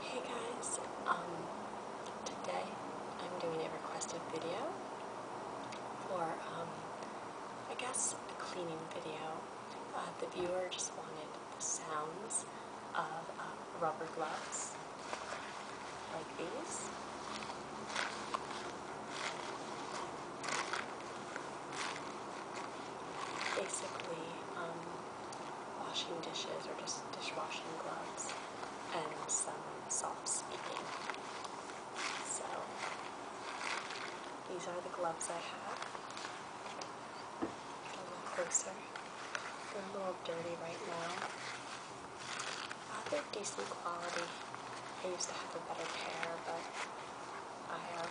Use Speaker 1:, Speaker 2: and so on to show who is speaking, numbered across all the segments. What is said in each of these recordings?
Speaker 1: Hey guys, um, today I'm doing a requested video for, um, I guess a cleaning video. Uh, the viewer just wanted the sounds of uh, rubber gloves, like these. Basically, um, washing dishes or just dishwashing gloves, and some soft speaking. So these are the gloves I have. A little closer. They're a little dirty right now. Uh, they're decent quality. I used to have a better pair, but I uh,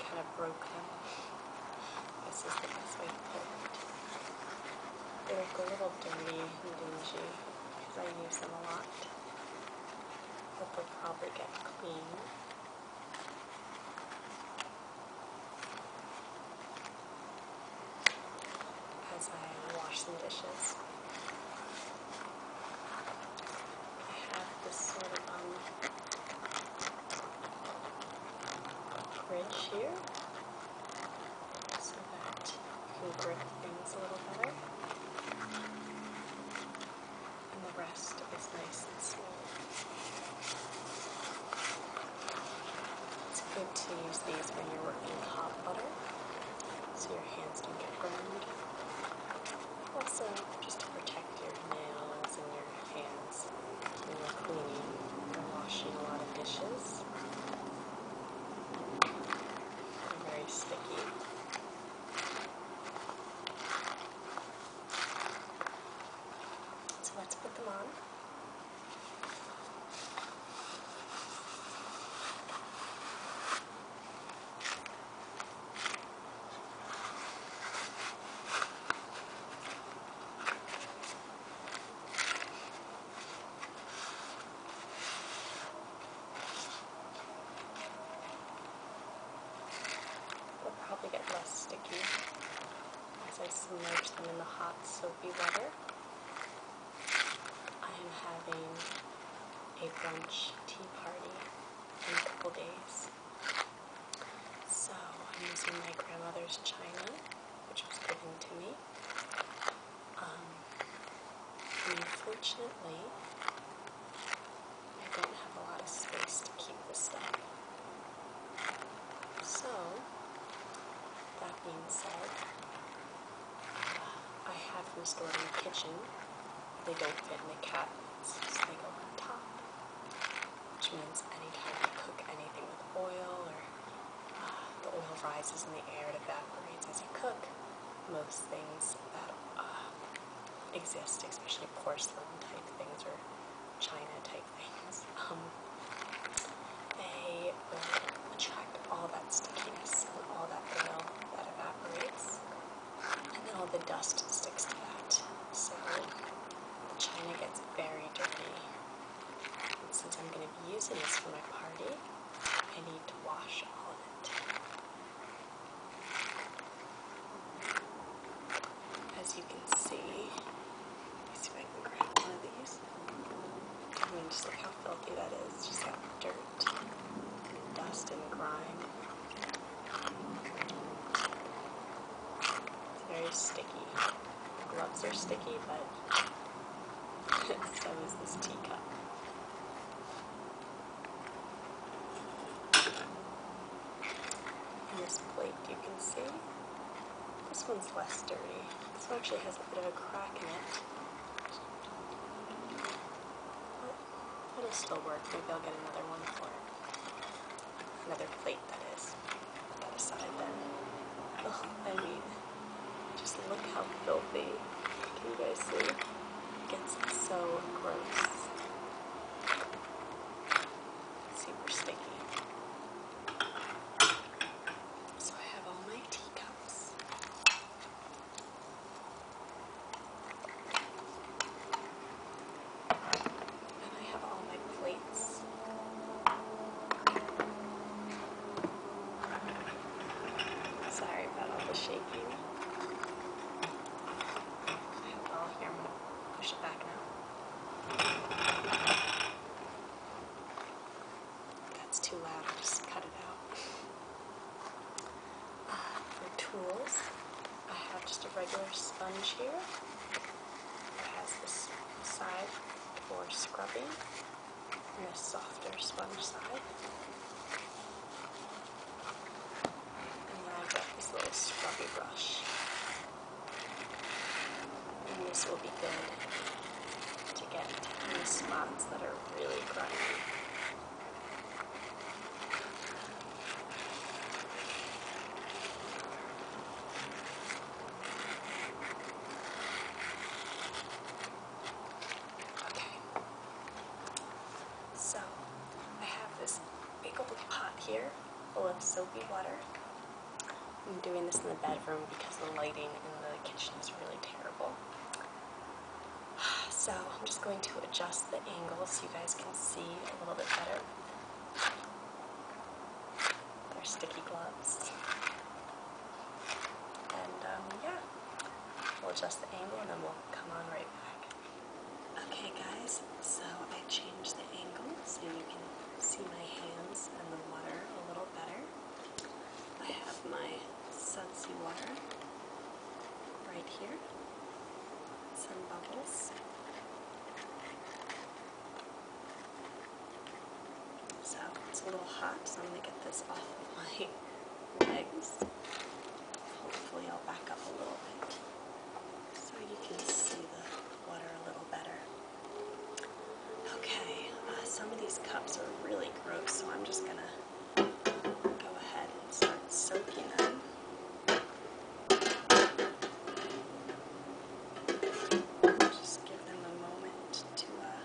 Speaker 1: kind of broke them. This is the best way to put it. They look a little dirty and dingy because I use them a lot. But they'll probably get clean. As I wash some dishes. I have this sort of um, ridge here so that you can grip things a little better. And the rest is nice and It's good to use these when you're working with hot butter so your hands don't get burned. Also, just to protect your nails and your hands. We are cleaning and washing a lot of dishes. They're very sticky. So let's put them on it will probably get less sticky as I submerge them in the hot soapy water. I am having a brunch tea party in a couple days. So I'm using my grandmother's china, which was given to me. Um, and unfortunately, I don't have a lot of space to keep this stuff. So, that being said, uh, I have them stored in the kitchen. They don't fit in the cabinets, so they go on top which means anytime you cook anything with oil or uh, the oil rises in the air, it evaporates as you cook. Most things that uh, exist, especially porcelain type things or china type things, um, they will attract all that stickiness and all that oil that evaporates, and then all the dust sticks to that. So the china gets very dirty since I'm going to be using this for my party, I need to wash all of it. As you can see, see if I can grab one of these. I mean, just look how filthy that is. Just got dirt, dust, and grime. very sticky. Gloves are sticky, but so is this teacup. And this plate, you can see, this one's less dirty. This one actually has a bit of a crack in it. But it'll still work. Maybe I'll get another one for it another plate that is. Put that aside then. Oh, I mean, just look how filthy. Can you guys see? It gets so gross. Super sticky. So I have all my teacups. I have all my plates. Sorry about all the shaking. I hope all here. push it back now. That's too loud. just cut it out. Uh, for tools, I have just a regular sponge here. It has this side for scrubbing and a softer sponge side. And then I've got this little scrubby brush. And this will be good to get any spots that are really grimy. Okay. So I have this big old pot here full of soapy water. I'm doing this in the bedroom because the lighting in the kitchen is really terrible. So I'm just going to adjust the angle so you guys can see a little bit better they're sticky gloves. And um, yeah, we'll adjust the angle and then we'll come on right back. Okay guys, so I changed the angle so you can see my hands and the water a little better. I have my sunsy water right here. Some bubbles. So it's a little hot, so I'm going to get this off of my legs. Hopefully I'll back up a little bit so you can see the water a little better. Okay, uh, some of these cups are really gross, so I'm just going to go ahead and start soaking them. Just give them a moment to uh,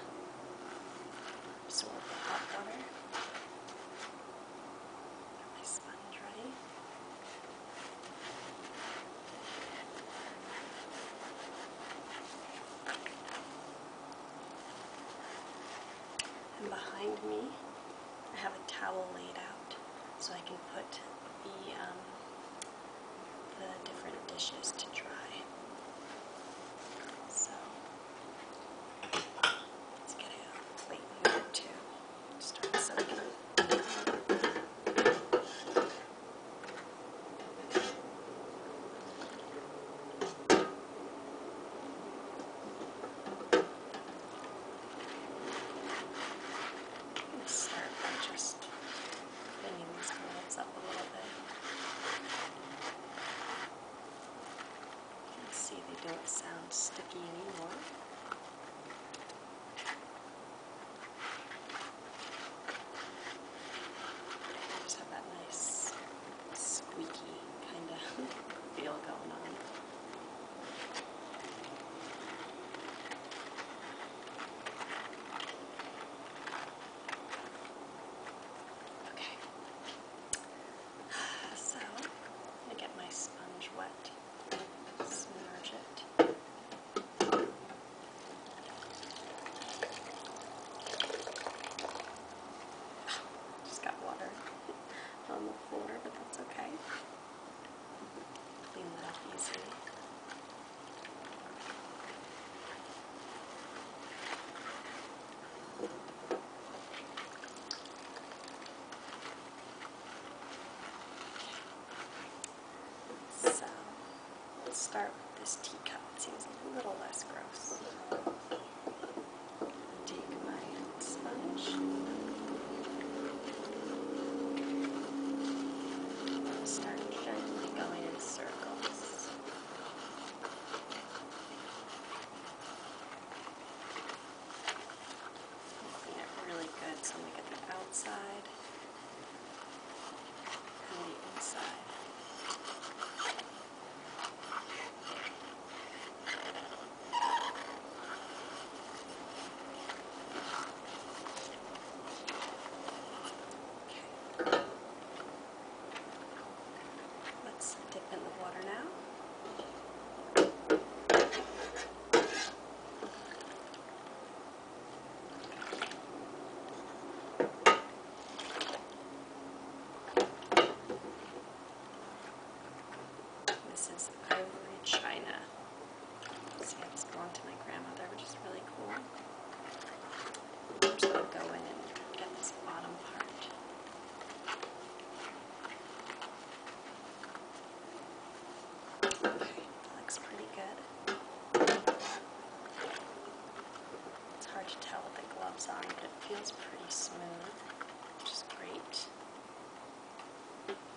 Speaker 1: absorb the hot water. Got my sponge ready. And behind me, I have a towel laid out so I can put the um, the different dishes to try. So let's get a plate here to start serving. start by just bringing these curves up a little bit. You can see they don't sound sticky anymore. They just have that nice squeaky kind of feel going on. Okay. So, I'm going to get my sponge wet, submerge it. Just got water on the floor, but that's okay. Clean that up easily. So let's start with this teacup. It seems a little less gross. Take my sponge. Start gently going in circles. Making it really good so we get the outside and the inside. Okay. Let's dip in the water now. This is Ivory China. See, it's belonged to my grandmother, which is really cool. I'm just going to go in and get this bottom part. Okay, looks pretty good. It's hard to tell with the gloves on, but it feels pretty smooth, which is great.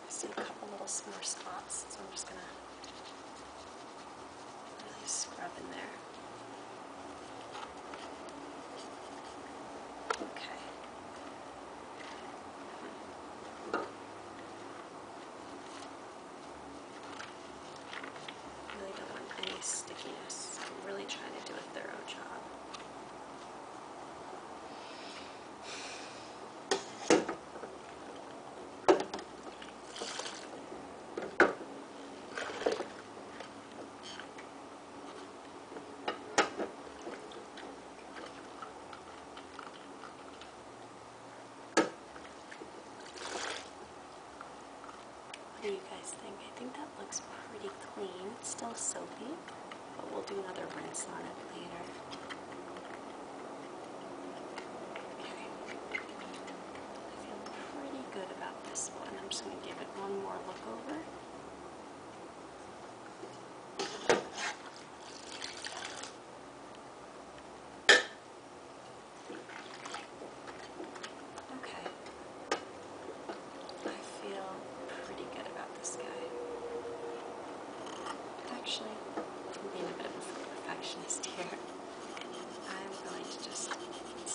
Speaker 1: I see a couple little sore spots, so I'm just going to really scrub in there. Okay. Hmm. really don't want any stickiness. I'm really trying to do a thorough job. What do you guys think? I think that looks pretty clean. It's still soapy, but we'll do another rinse on it later. I feel pretty good about this one. I'm just going to give it one more look over. Okay. I feel pretty good about this guy. Actually, I'm being a bit of a perfectionist here. I'm going to just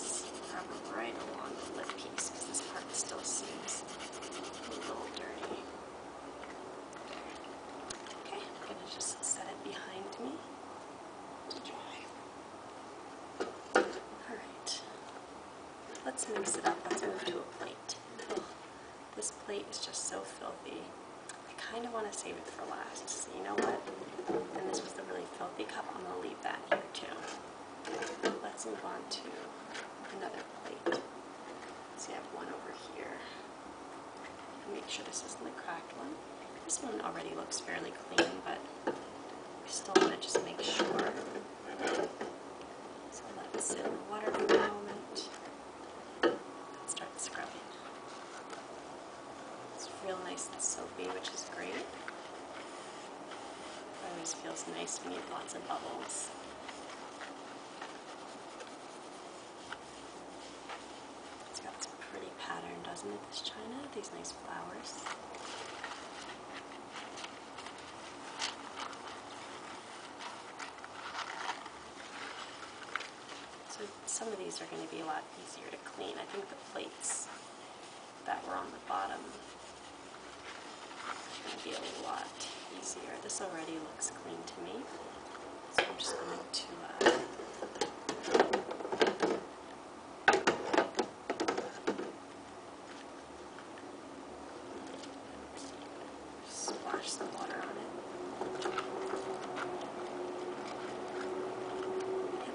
Speaker 1: snap right along the lip piece because this part still seems a little dirty. Okay, I'm going to just set it behind me to dry. Alright, let's mix it up. Let's move to a plate. This plate is just so filthy. I kind of want to save it for last, so you know what? And this was the really filthy cup. I'm going to leave that here too. Let's move on to another plate. So I have one over here. Make sure this isn't the cracked one. This one already looks fairly clean, but I still want to just make sure. So let us sit in the water for a moment. Start scrubbing. It's real nice and soapy, which is great. always feels nice when you have lots of bubbles. It's got some pretty pattern, doesn't it, this china? These nice flowers. So some of these are going to be a lot easier to clean. I think the plates that were on the bottom are going to be a lot easier. This already looks clean to me, so I'm just going to uh, splash some water on it.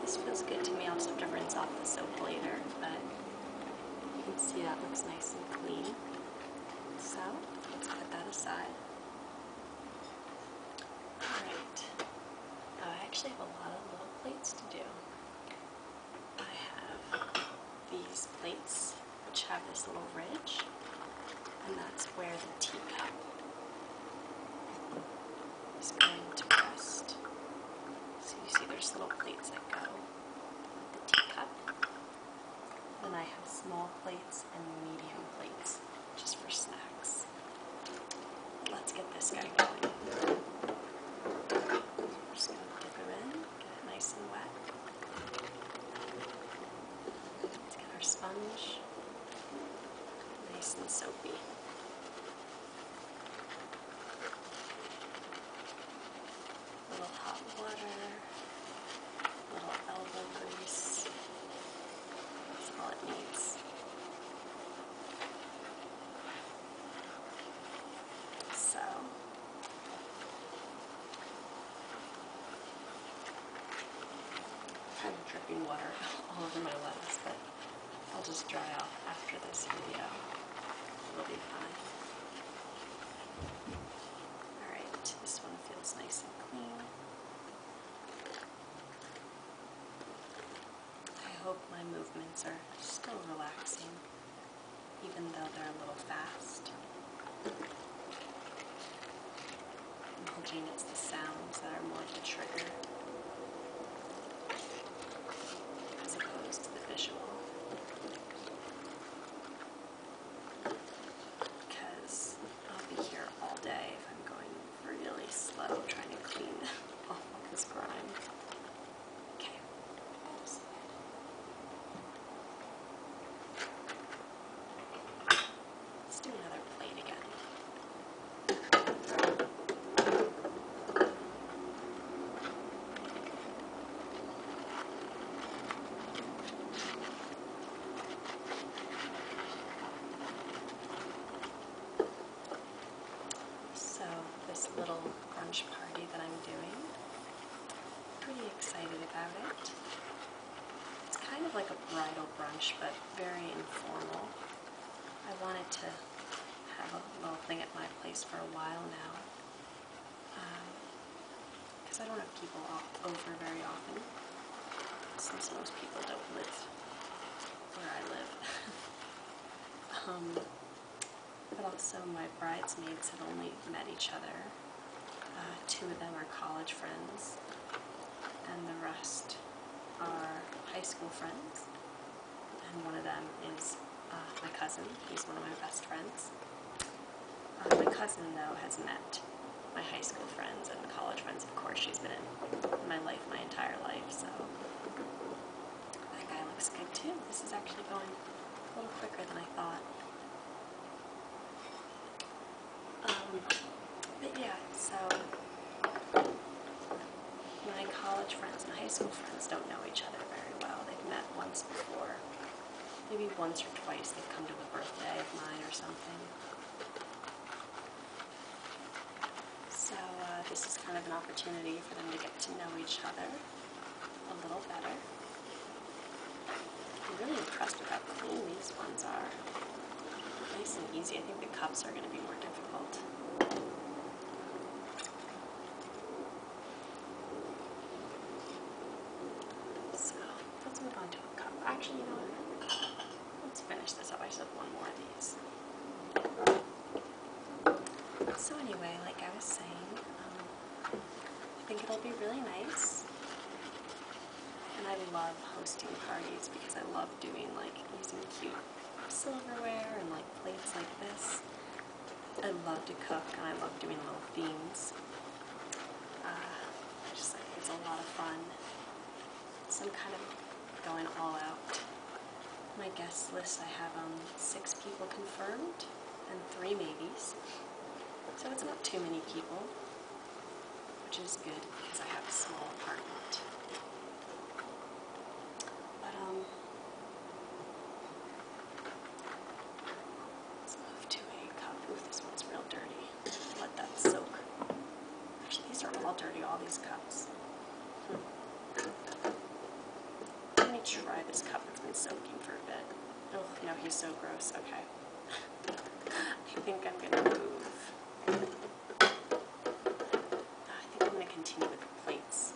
Speaker 1: this feels good to me. I'll just have to rinse off the soap later, but you can see that looks nice and clean. So let's put that aside. Alright, oh, I actually have a lot of little plates to do. I have these plates which have this little ridge and that's where the teacup is going to rest. So you see there's little plates that go with the teacup. Then I have small plates and medium plates just for snacks. Let's get this guy going. just going to dip him in, nice and wet. Let's get our sponge nice and soapy. little hot water, little elbow grease. That's all it needs. So Kind of dripping water all over my legs, but I'll just dry off after this video. It'll be fine. Alright, this one feels nice and clean. I hope my movements are still relaxing, even though they're a little fast i it's the sounds that are more the trigger as opposed to the visual. Because I'll be here all day if I'm going really slow trying to clean off all this grime. Okay. Let's do another plate again. So this little brunch party that I'm doing, pretty excited about it. It's kind of like a bridal brunch, but very informal. I wanted to have a little thing at my place for a while now. Because um, I don't have people over very often, since most people don't live where I live. um, but also my bridesmaids had only met each other uh, two of them are college friends, and the rest are high school friends. And one of them is uh, my cousin. He's one of my best friends. Uh, my cousin, though, has met my high school friends and college friends. Of course, she's been in my life my entire life, so that guy looks good, too. This is actually going a little quicker than I thought. Um, but yeah, so my college friends and high school friends don't know each other very well. They've met once before. Maybe once or twice they've come to a birthday of mine or something. So uh, this is kind of an opportunity for them to get to know each other a little better. I'm really impressed with how clean these ones are. Nice and easy. I think the cups are going to be more difficult. So let's move on to a cup. Actually, you know what? Let's finish this up. I just have one more of these. So anyway, like I was saying, um, I think it'll be really nice. And I love hosting parties because I love doing like using cute silverware and like plates like this. I love to cook and I love doing little themes. Uh, just think it's a lot of fun. So I'm kind of going all out. My guest list, I have um, six people confirmed and three maybes. So it's not too many people which is good because I have a small apartment. But, um, let's move to a cup. Ooh, this one's real dirty. Let that soak. Actually, these are all dirty, all these cups. Let me try this cup. It's been soaking for a bit. Oh, no, he's so gross. Okay. I think I'm going to move. I think I'm going to continue with plates.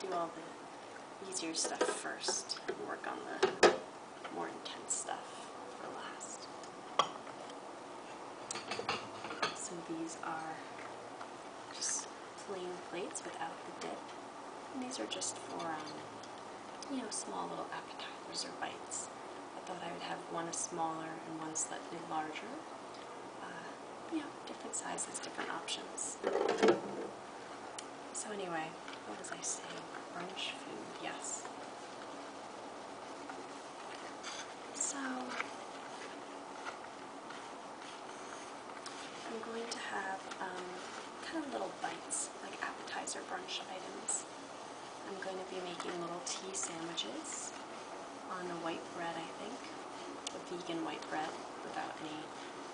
Speaker 1: Do all the easier stuff first and work on the more intense stuff for last. So these are just plain plates without the dip. And these are just for, um, you know, small little appetizers or bites. I thought I would have one smaller and one slightly larger. Uh, you know, different sizes, different options. So anyway, what was I saying? Brunch food, yes. So I'm going to have um, kind of little bites, like appetizer brunch items. I'm going to be making little tea sandwiches on a white bread, I think. A vegan white bread without any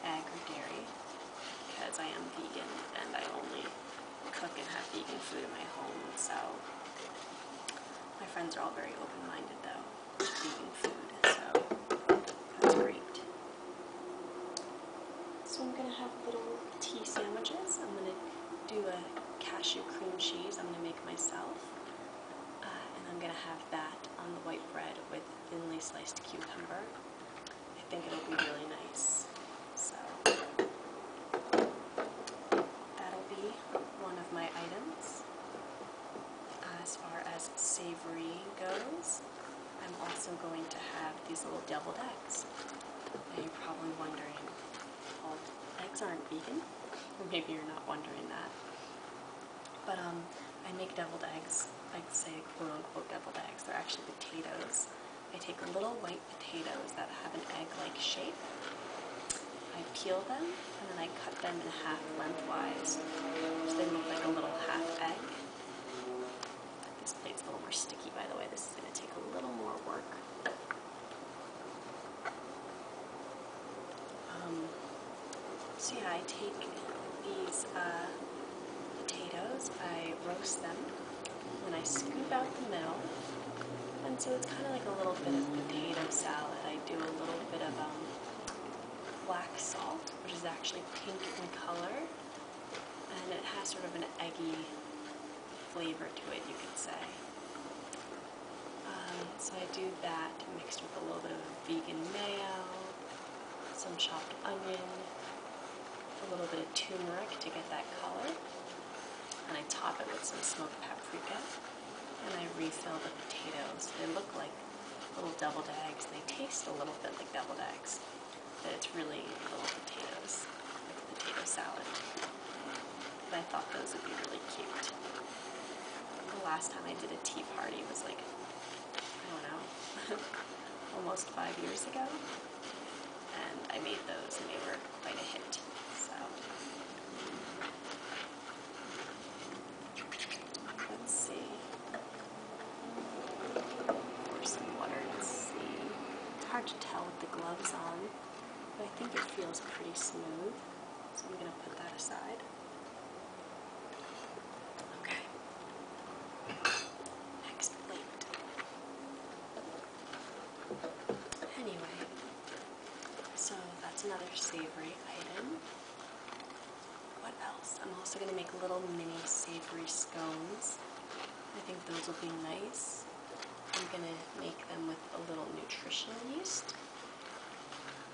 Speaker 1: egg or dairy because I am vegan and I only cook and have vegan food in my home, so my friends are all very open-minded though to vegan food, so that's great. So I'm going to have little tea sandwiches. I'm going to do a cashew cream cheese I'm going to make myself. Uh, and I'm going to have that on the white bread with thinly sliced cucumber. I think it'll be really nice. So that'll be one of my items. Uh, as far as savory goes, I'm also going to have these little deviled eggs eggs. you're probably wondering, eggs aren't vegan? Maybe you're not wondering that. But um, I make deviled eggs. I would say quote unquote deviled eggs. They're actually potatoes. I take little white potatoes that have an egg-like shape. I peel them and then I cut them in half lengthwise, so they look like a little half egg. This plate's a little more sticky, by the way. This is going to take a little more work. Um, so yeah, I take these uh, potatoes, I roast them, and I scoop out the middle. And so it's kind of like a little bit of potato salad. I do a little bit of um, black salt, which is actually pink in color, and it has sort of an eggy flavor to it, you could say. Um, so I do that mixed with a little bit of vegan mayo, some chopped onion, a little bit of turmeric to get that color, and I top it with some smoked paprika, and I refill the potatoes. They look like little deviled eggs. They taste a little bit like deviled eggs that it's really little potatoes, like potato salad. But I thought those would be really cute. The last time I did a tea party was like, I don't know, almost five years ago. And I made those and they were quite a hit. So let's see. Pour some water and see hard to tell with the gloves on, but I think it feels pretty smooth, so I'm going to put that aside. Okay. Next plate. Anyway, so that's another savory item. What else? I'm also going to make little mini savory scones. I think those will be nice. I'm going to make them with a little nutritional yeast.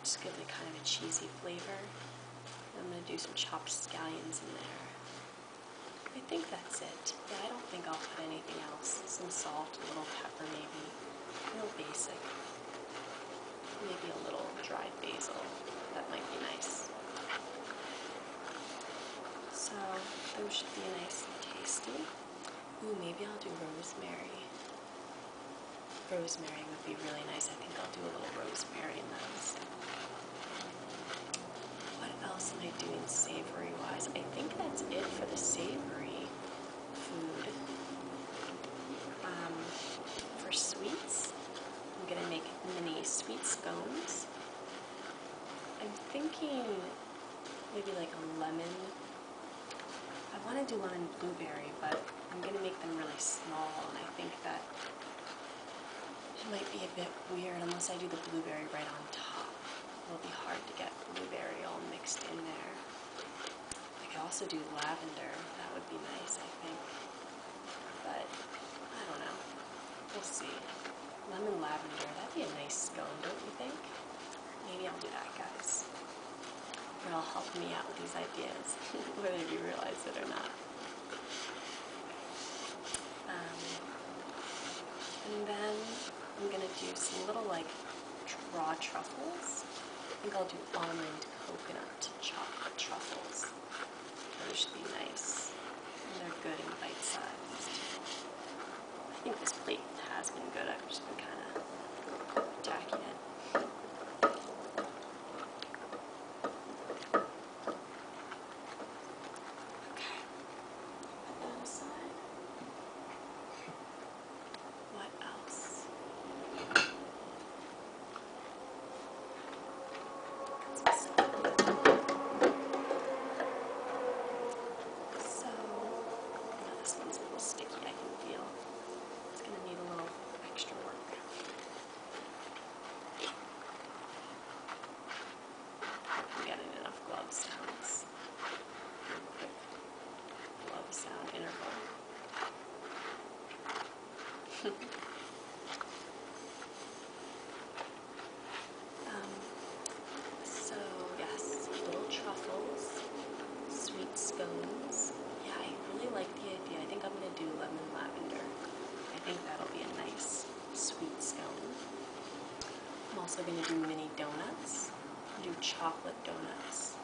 Speaker 1: Just give it kind of a cheesy flavor. I'm going to do some chopped scallions in there. I think that's it. Yeah, I don't think I'll put anything else. Some salt, a little pepper maybe. Real basic. Maybe a little dried basil. That might be nice. So those should be nice and tasty. Ooh, maybe I'll do rosemary. Rosemary would be really nice. I think I'll do a little rosemary in those. What else am I doing savory wise? I think that's it for the savory food. Um, for sweets, I'm gonna make mini sweet scones. I'm thinking maybe like a lemon. I want to do lemon blueberry, but I'm going to make them really small, and I think that it might be a bit weird unless I do the blueberry right on top. It'll be hard to get blueberry all mixed in there. I could also do lavender. That would be nice, I think. But, I don't know. We'll see. Lemon lavender, that'd be a nice scone, don't you think? Maybe I'll do that, guys. It'll help me out with these ideas, whether you realize it or not. Um, and then I'm going to do some little like raw truffles. I think I'll do almond coconut chocolate truffles. Those should be nice. they're good in bite sized. I think this plate has been good. I've just been kind of attacking it. So, now this one's a little sticky, I can feel. It's going to need a little extra work. I'm getting enough glove sounds. Glove sound interval. Um, so yes, little truffles, sweet scones. Yeah, I really like the idea. I think I'm gonna do lemon lavender. I think that'll be a nice sweet scone. I'm also gonna do mini donuts. Do chocolate donuts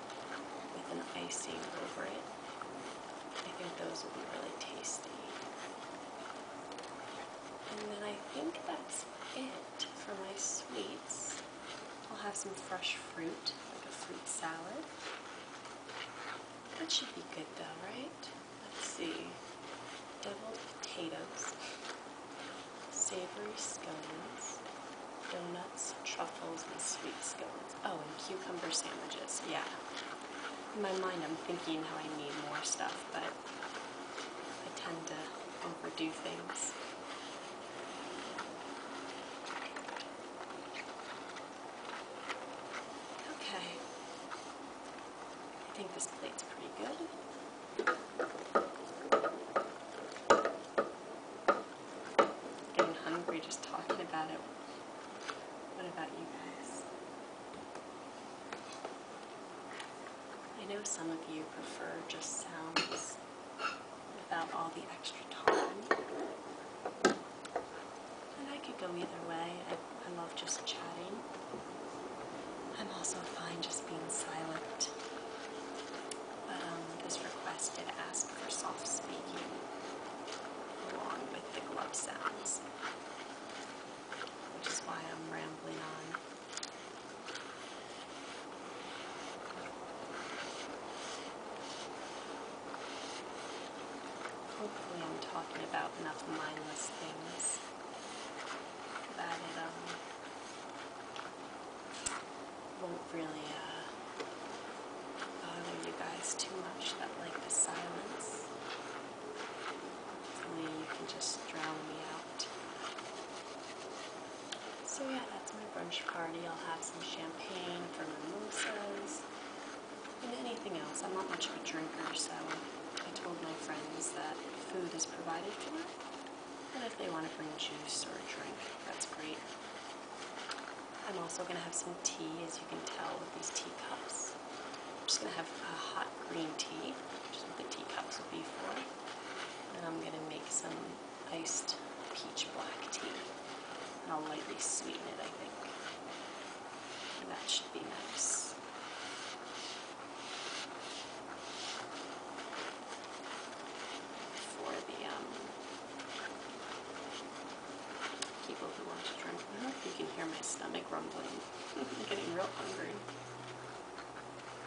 Speaker 1: with an icing over it. I think those will be really tasty. And then I think that's it for my sweets. I'll have some fresh fruit, like a fruit salad. That should be good though, right? Let's see. Deviled potatoes, savory scones, donuts, truffles, and sweet scones. Oh, and cucumber sandwiches, yeah. In my mind, I'm thinking how I need more stuff, but I tend to overdo things. Okay. I think this plate's pretty good. Getting hungry just talking about it. What about you guys? I know some of you prefer just sounds without all the extra time. And I could go either way. I, love just chatting. I'm also fine just being silent. Um, this request ask for soft speaking along with the glove sounds, which is why I'm rambling on. Hopefully I'm talking about enough mindless things that it um, won't really uh, bother you guys too much that like the silence and you can just drown me out. So yeah, that's my brunch party. I'll have some champagne for mimosas and anything else. I'm not much of a drinker, so I told my friends that food is provided for them. And if they want to bring juice or a drink, that's great. I'm also going to have some tea, as you can tell with these teacups. I'm just going to have a hot green tea, Just is the teacups will be for. And I'm going to make some iced peach black tea. And I'll lightly sweeten it, I think. And that should be nice. For the um, people who want to drink milk, you can hear my stomach rumbling. I'm getting real hungry.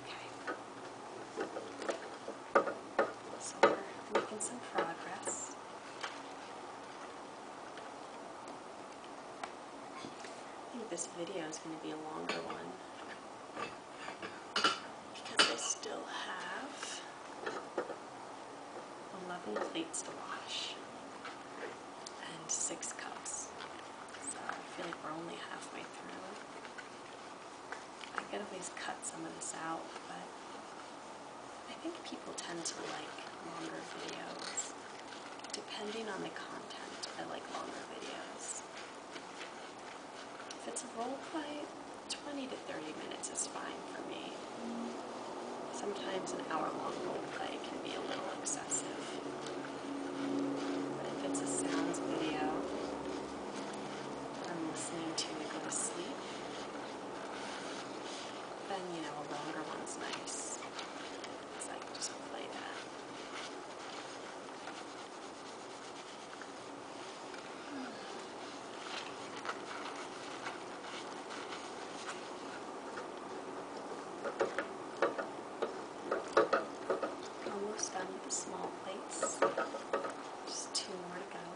Speaker 1: Okay. So we're making some progress. I think this video is going to be a longer one because I still have 11 plates to wash and 6 cups. So I feel like we're only halfway through. I could always cut some of this out, but I think people tend to like longer videos. Depending on the content, I like longer videos. If it's a role play, 20 to 30 minutes is fine for me. Sometimes an hour long role play can be a little excessive. But if it's a sounds video I'm listening to to go to sleep, then you know a longer one's nice. So I just play that. Hmm. Almost done with the small plates. Just two more to go.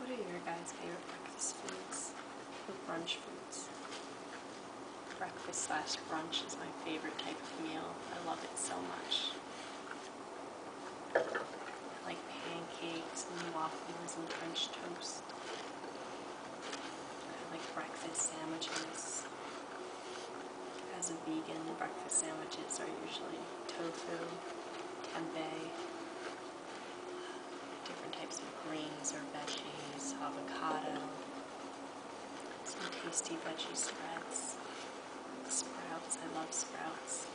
Speaker 1: What are your guys' favorite breakfast foods or brunch foods? breakfast slash brunch is my favorite type of meal. I love it so much. I like pancakes and waffles and French toast. I like breakfast sandwiches. As a vegan, breakfast sandwiches are usually tofu, tempeh, different types of greens or veggies, avocado, some tasty veggie spreads. Sprouts, I love sprouts.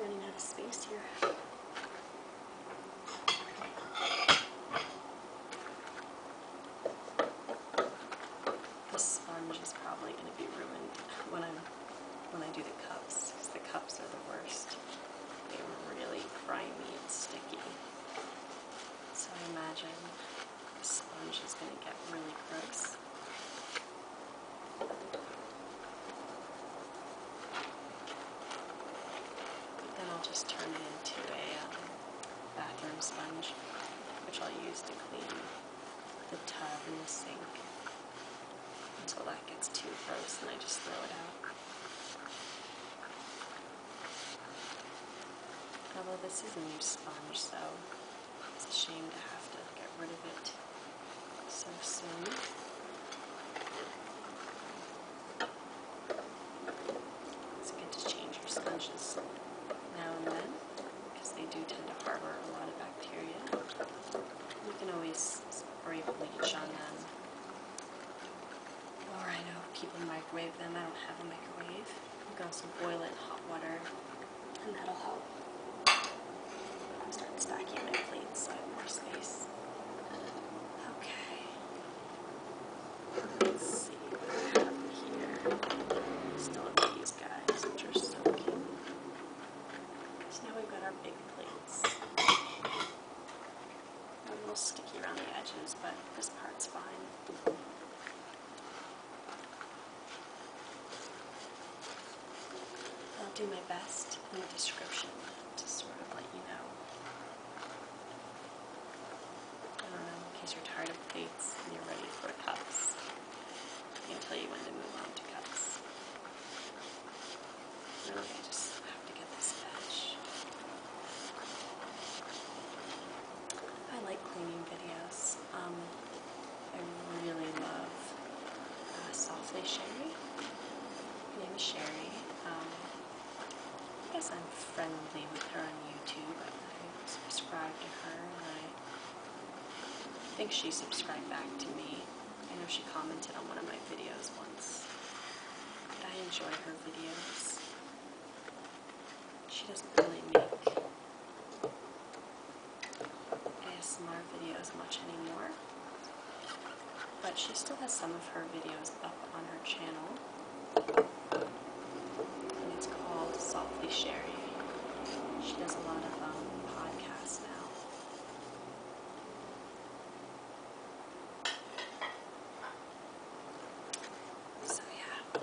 Speaker 1: Running out of space here. The sponge is probably going to be ruined when i when I do the cups because the cups are the worst. They are really grimy and sticky. So I imagine the sponge is going to get really gross. But then I'll just turn it into a um, bathroom sponge, which I'll use to clean the tub and the sink until that gets too gross and I just throw it out. Although this is a new sponge, so it's a shame to have to get rid of it so soon. It's good to change your sponges now and then because they do tend to harbor a lot of bacteria. You can always spray bleach on them. Or I know people microwave them. I don't have a microwave. You can also boil it in hot water and that'll help. I'm starting stacking my plates so I more space. Okay, Let's see what we have here. Still these guys, which are so cute. So now we've got our big plates. a little sticky around the edges, but this part's fine. I'll do my best in the description to sort of let you know in um, case you're tired of plates and you're ready for cups. I can tell you when to move on to cups. I just have to get this batch. I like cleaning videos. Um, I really love uh, Softly Sherry. My name is Sherry. Um, I guess I'm friendly with her on YouTube. I, I subscribe to her and I think she subscribed back to me. I know she commented on one of my videos once. But I enjoy her videos. She doesn't really make ASMR videos much anymore. But she still has some of her videos up on her channel. And it's called Softly Sherry. She does a lot of um, podcasts now. So, yeah.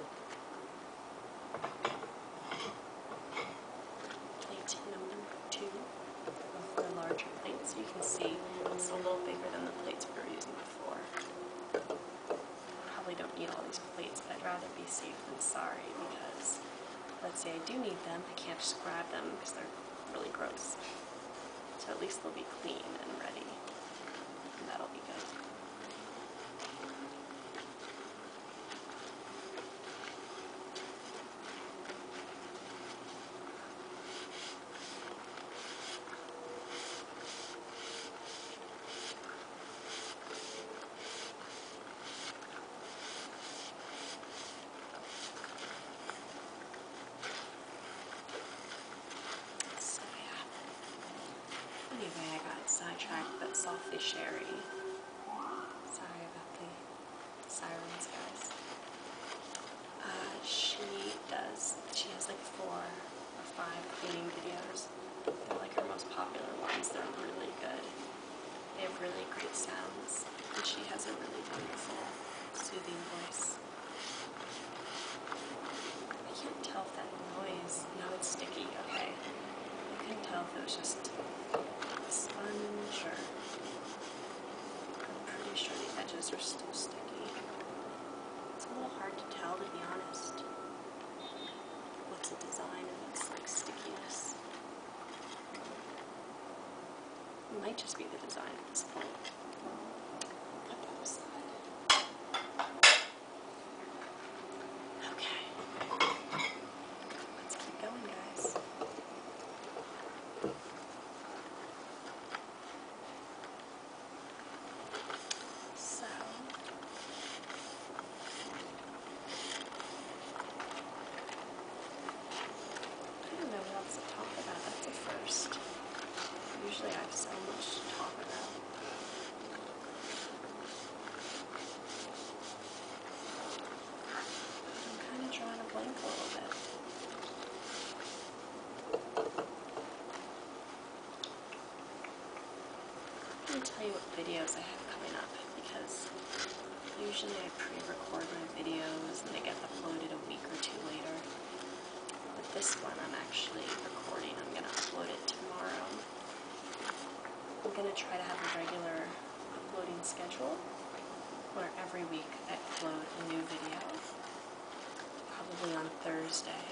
Speaker 1: Plate number two the larger plates. You can see it's a little bigger than the plates we were using for. Probably don't need all these plates, but I'd rather be safe than sorry because let's say I do need them, I can't just grab them because they're really gross. So at least they'll be clean and ready, and that'll be good. So yeah. Anyway, I got sidetracked, but softly sherry. Sorry about the sirens, guys. Uh, she does, she has like four or five cleaning videos. They're like her most popular ones. They're really good. They have really great sounds. And she has a really wonderful, soothing voice. I can't tell if that noise, no it's sticky, okay. I couldn't tell if it was just a sponge or I'm pretty sure the edges are still sticky. It's a little hard to tell, to be honest. What's a design and what's like stickiness? It might just be the design at this point. Okay. Let's keep going, guys. So I don't know what else to talk about first. Usually I have so much to talk about. I'm kind of drawing a blank a little bit. I'm going to tell you what videos I have coming up because usually I pre-record my videos and they get uploaded a week or two later. But this one I'm actually recording. I'm going to upload it tomorrow. I'm going to try to have a regular uploading schedule where every week I upload a new video probably on Thursday,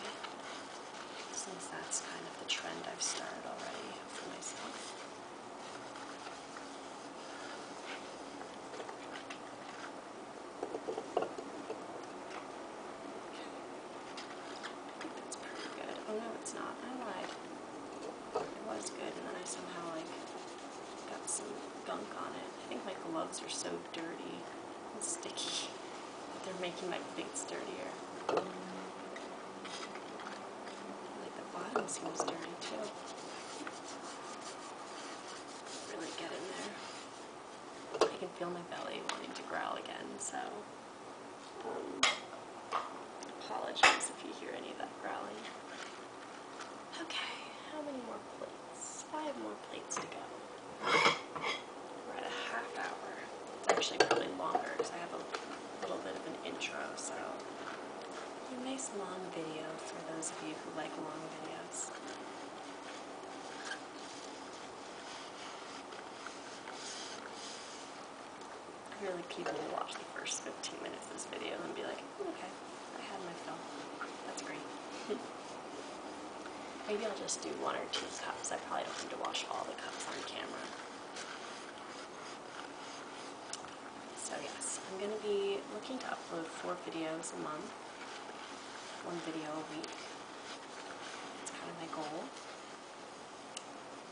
Speaker 1: since that's kind of the trend I've started already for myself. I think that's pretty good. Oh no, it's not. I lied. It was good, and then I somehow like got some gunk on it. I think my gloves are so dirty and sticky. They're making my feet dirtier. Like the bottom seems dirty too. Really get in there. I can feel my belly wanting to growl again, so um, apologies if you hear any of that growling. Okay, how many more plates? five more plates to go. We're at a half hour. Actually, probably longer because I have a little bit of an intro, so a nice long video for those of you who like long videos. I feel like people will watch the first 15 minutes of this video and be like, okay, I had my fill. That's great. Maybe I'll just do one or two cups. I probably don't need to wash all the cups on camera. So yes, I'm going to be looking to upload four videos a month, one video a week. That's kind of my goal.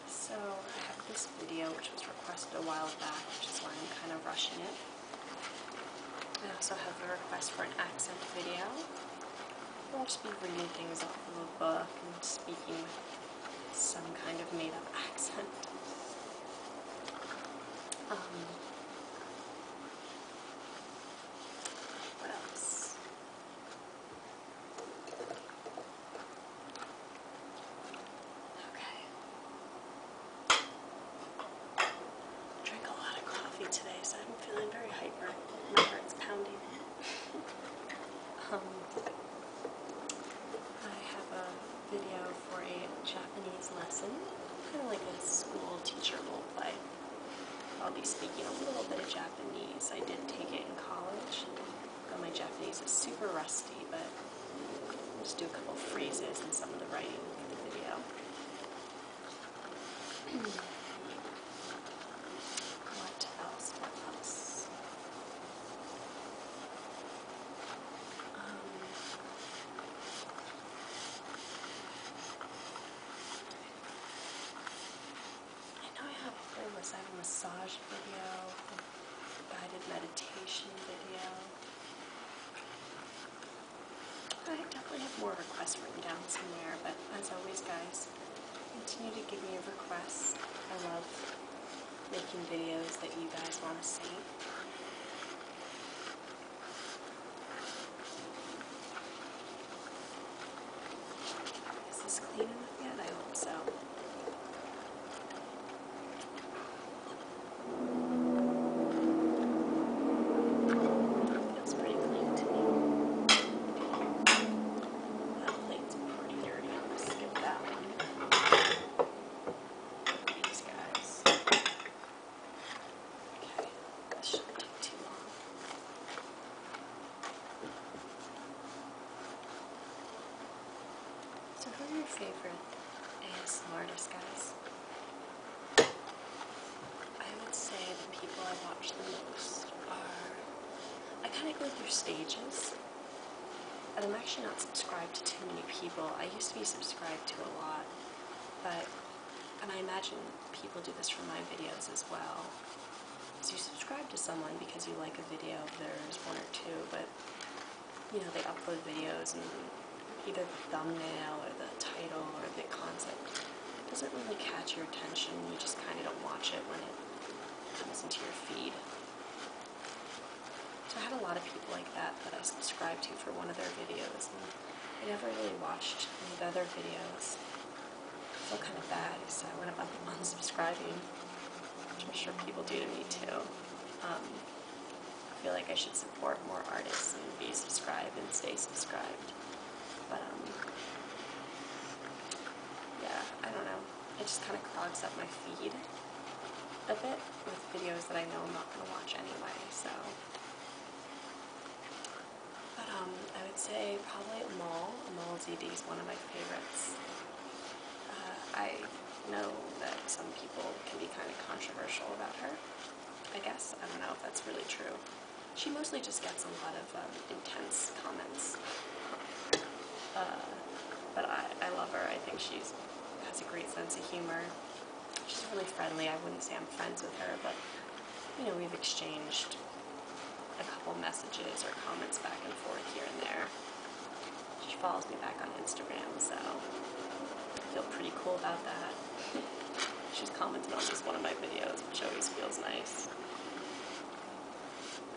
Speaker 1: So I have this video which was requested a while back, which is why I'm kind of rushing it. I also have a request for an accent video. I'll just be reading things off of a book and speaking with some kind of made up accent. Um, what else? Okay. Drink a lot of coffee today, so I'm feeling very hyper. My heart's pounding. um, I have a video for a Japanese lesson, kind of like a school teacher role play. I'll be speaking a little bit of Japanese. I did take it in college. Well, my Japanese is super rusty, but just do a couple phrases and some of the writing in the video what else? Um, I know I have a I have a massage video, a guided meditation video. I definitely have more requests written down somewhere, but as always, guys, continue to give me your requests. I love making videos that you guys want to see. Is this clean yet? I hope so feels pretty clean to me. That plate's pretty dirty. skip that one. These guys. Okay, that shouldn't take too long. So who are your favorite ASMR guys? I would say the people I watch the most are. I kind of go through stages. And I'm actually not subscribed to too many people. I used to be subscribed to a lot. But. And I imagine people do this for my videos as well. So you subscribe to someone because you like a video There's one or two, but you know, they upload videos and either the thumbnail or the title or the concept doesn't really catch your attention. You just kind of don't watch it when it comes into your feed. So I had a lot of people like that that I subscribed to for one of their videos, and I never really watched any of the other videos. I felt kind of bad, so I went about them subscribing, which I'm sure people do to me too. Um, I feel like I should support more artists and be subscribed and stay subscribed. But, um, yeah, I don't know. It just kind of clogs up my feed a bit with videos that I know I'm not going to watch anyway, so. But, um, I would say probably Mall. Mall ZD is one of my favorites. Uh, I know that some people can be kind of controversial about her. I guess. I don't know if that's really true she mostly just gets a lot of um, intense comments. Uh, but I, I love her. I think she's has a great sense of humor. She's really friendly. I wouldn't say I'm friends with her, but you know we've exchanged a couple messages or comments back and forth here and there. She follows me back on Instagram, so I feel pretty cool about that. She's commented on just one of my videos, which always feels nice.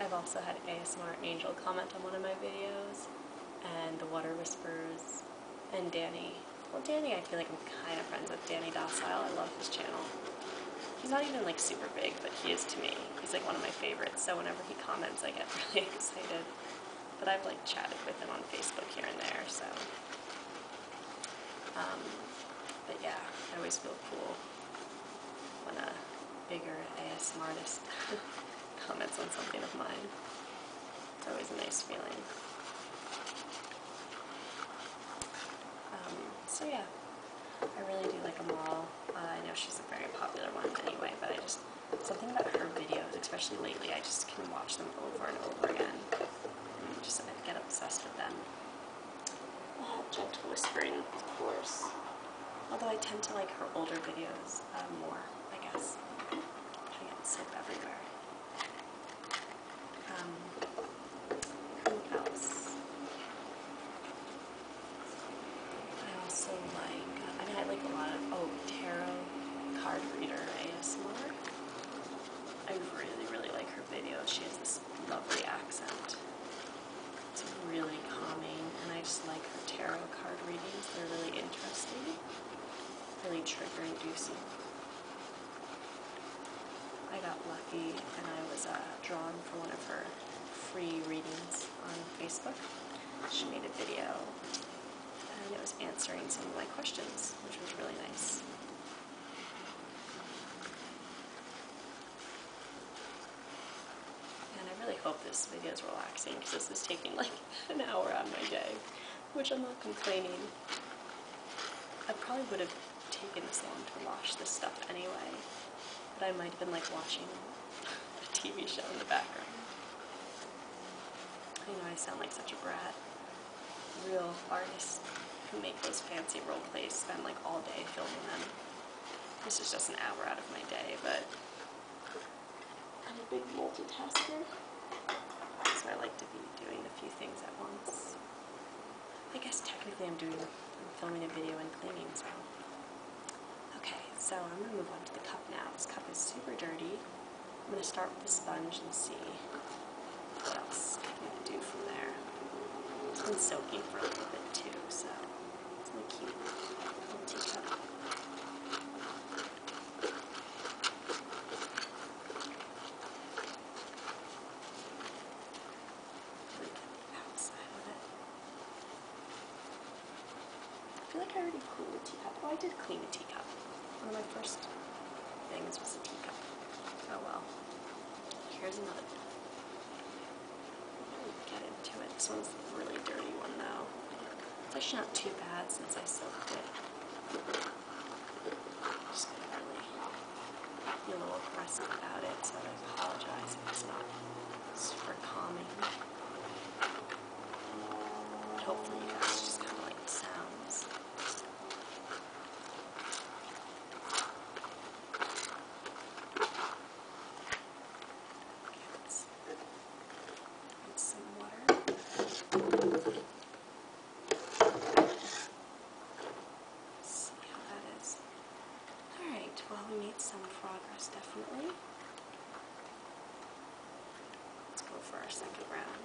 Speaker 1: I've also had ASMR Angel comment on one of my videos, and The Water Whispers, and Danny. Well, Danny, I feel like I'm kind of friends with Danny Docile. I love his channel. He's not even like super big, but he is to me. He's like one of my favorites, so whenever he comments, I get really excited. But I've like chatted with him on Facebook here and there, so um, but yeah, I always feel cool when a bigger ASM artist comments on something of mine. It's always a nice feeling. Um, so yeah, I really do like them all. Uh, I know she's a very popular one anyway, but I just, something about her videos, especially lately, I just can watch them over and over again. Just I get obsessed with them. Uh, gentle whispering, of course. Although I tend to like her older videos uh, more, I guess. Putting out soap everywhere. Um, who else? I also like, uh, I mean, I like a lot of, oh, tarot card reader ASMR. I really, really like her. Video. She has this lovely accent. It's really calming, and I just like her tarot card readings. They're really interesting, really triggering, inducing I got lucky, and I was uh, drawn for one of her free readings on Facebook. She made a video, and it was answering some of my questions, which was really nice. And I really hope this video is relaxing because this is taking like an hour out of my day, which I'm not complaining. I probably would have taken this long to wash this stuff anyway, but I might have been like watching a TV show in the background. I know I sound like such a brat real artists who make those fancy role plays spend like all day filming them. This is just an hour out of my day, but I'm a big multitasker, so I like to be doing a few things at once. I guess technically I'm doing, I'm filming a video and cleaning, so. Okay, so I'm gonna move on to the cup now. This cup is super dirty. I'm going to start with the sponge and see what else I can do from there. It's been soaking for a little bit too, so it's really cute little teacup. I feel like I already cleaned the teacup. Oh, I did clean the teacup. One of my first things was a teacup. Oh well. Here's another. I didn't get into it. This one's a really dirty one though. It's actually not too bad since I soaked it. Just really feel a little oppressed about it, so I apologize if it's not super calming. But hopefully you guys just kind of like the sounds. And some water. See how that is. Alright, well, we made some progress definitely. Let's go for our second round.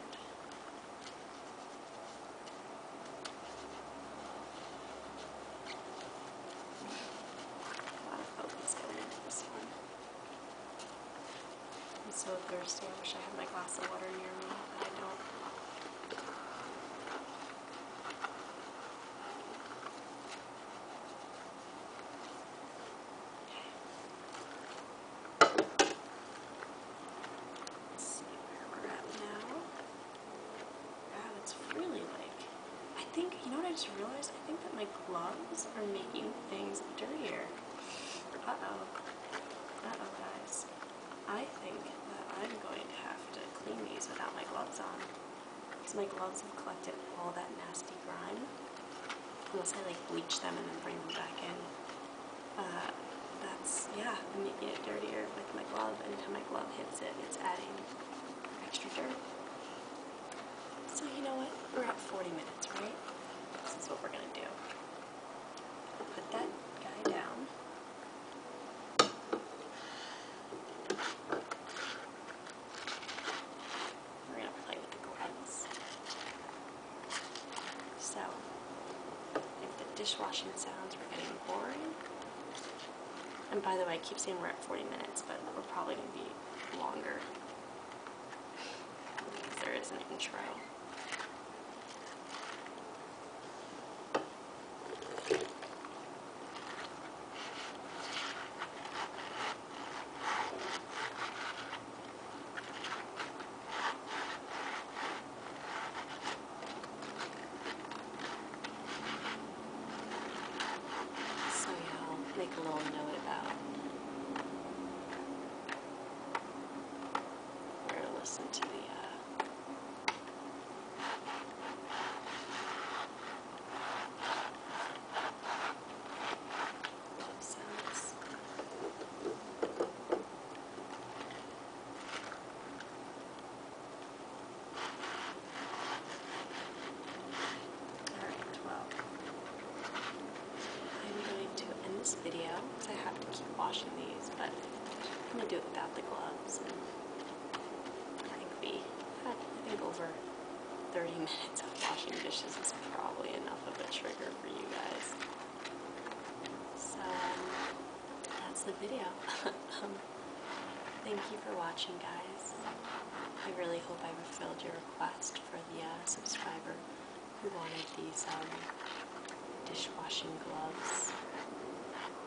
Speaker 1: A lot of focus going into this one. I'm so thirsty. I wish I had my glass of water near me, but I don't. Okay. Let's see where we're at now. Wow, it's really like, I think, you know what I just realized? I think that my gloves are making things dirtier. Uh-oh. Uh-oh, guys. I think that I'm going to have to clean these without my gloves on. Because my gloves have collected all that nasty grime. Unless I like bleach them and then bring them back in. Uh, that's, yeah, I'm making it dirtier with my glove. Anytime my glove hits it, it's adding extra dirt. So you know what? We're at 40 minutes, right? This is what we're going to do. Put that guy down. We're going to play with the gloves. So, if the dishwashing sounds were getting boring, and by the way, I keep saying we're at 40 minutes, but we're probably going to be longer because there is an intro. So I'll make a little note about where to listen to the uh, sounds. Alright, well, I'm going to end this video because I have to keep washing these, but I'm going to do it without the gloves. I think we had, I think over 30 minutes of washing dishes is probably enough of a trigger for you guys. So that's the video. Um, thank you for watching, guys. I really hope I fulfilled your request for the uh, subscriber who wanted these um, dishwashing gloves.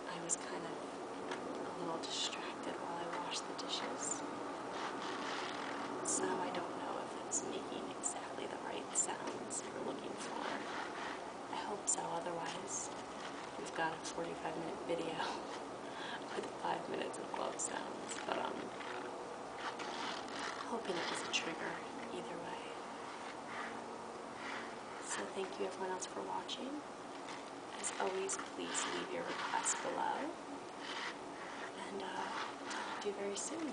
Speaker 1: I was kind of a little distracted while I washed the dishes. So I don't know if it's making exactly the right sounds you're looking for. I hope so, otherwise, we've got a 45 minute video with 5 minutes of glove sounds, but um, hoping it doesn't trigger either way. So thank you everyone else for watching. As always, please leave your requests below, and uh, talk to you very soon.